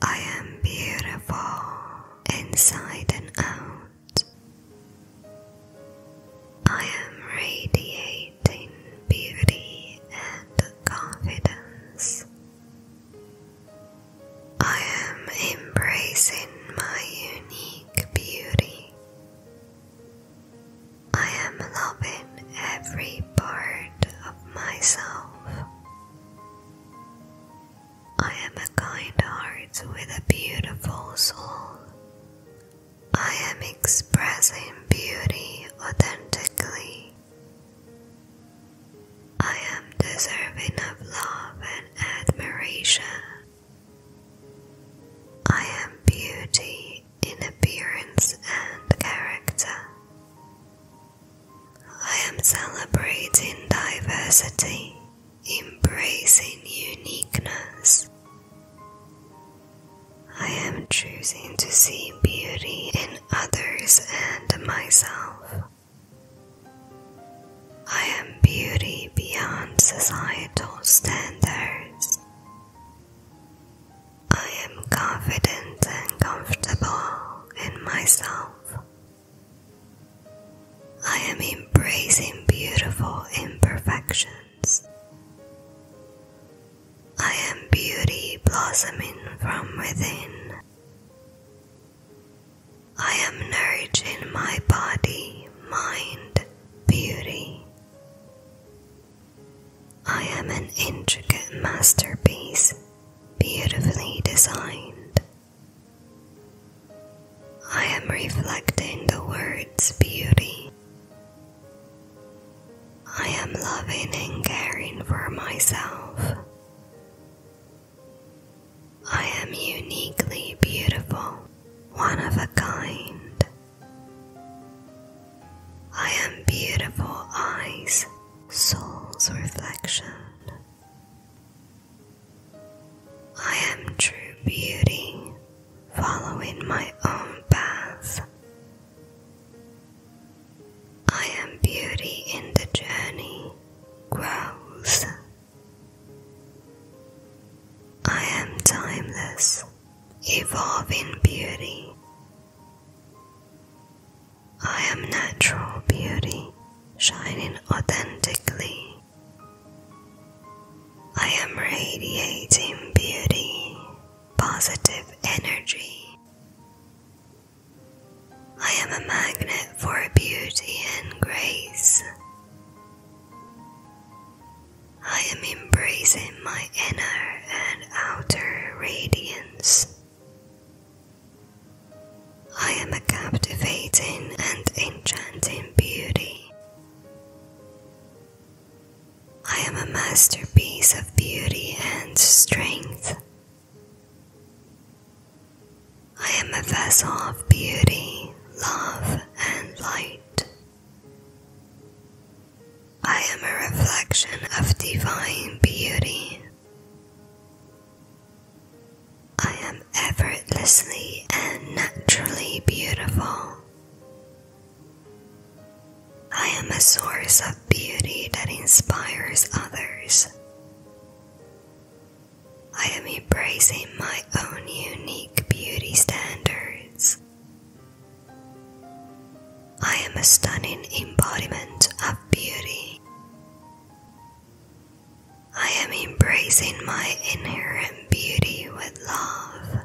I am beautiful inside and out. I am radiating beauty and confidence. I am embracing my unique beauty. I am loving every part of myself. I am a kind heart with a beautiful soul. I am expressing beauty authentically. I am deserving of love and admiration. I am beauty in appearance and character. I am celebrating diversity, embracing uniqueness. I am choosing to see beauty in others and myself. I am beauty beyond societal standards. I am confident and comfortable in myself. I am embracing beautiful imperfections. I am beauty blossoming from within. I am nourishing my body, mind, beauty. I am an intricate masterpiece, beautifully designed. I am reflecting the word's beauty. I am loving and caring for myself. I am uniquely beautiful, one of a kind. I am beautiful eyes, soul's reflection. I am true beauty, following my own path. I am beauty in the journey, growth, I am timeless, evolving beauty. I am natural beauty, shining authentically. I am radiating beauty, positive energy. I am a magnet for beauty and grace. I am embracing my inner and outer radiance. I am a captivating and enchanting beauty. I am a masterpiece of beauty and strength. I am a vessel of beauty, love, and light. I am a reflection of divine beauty. I am effortlessly and naturally beautiful. I am a source of beauty that inspires others. I am embracing my own unique beauty standards. I am a stunning embodiment of beauty. I am embracing my inherent beauty with love.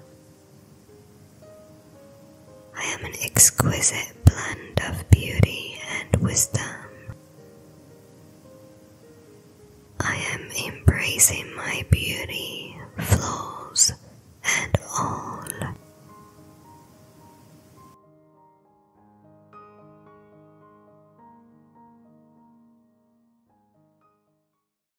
I am an exquisite blend of beauty and wisdom. I am embracing my beauty, flaws, and all.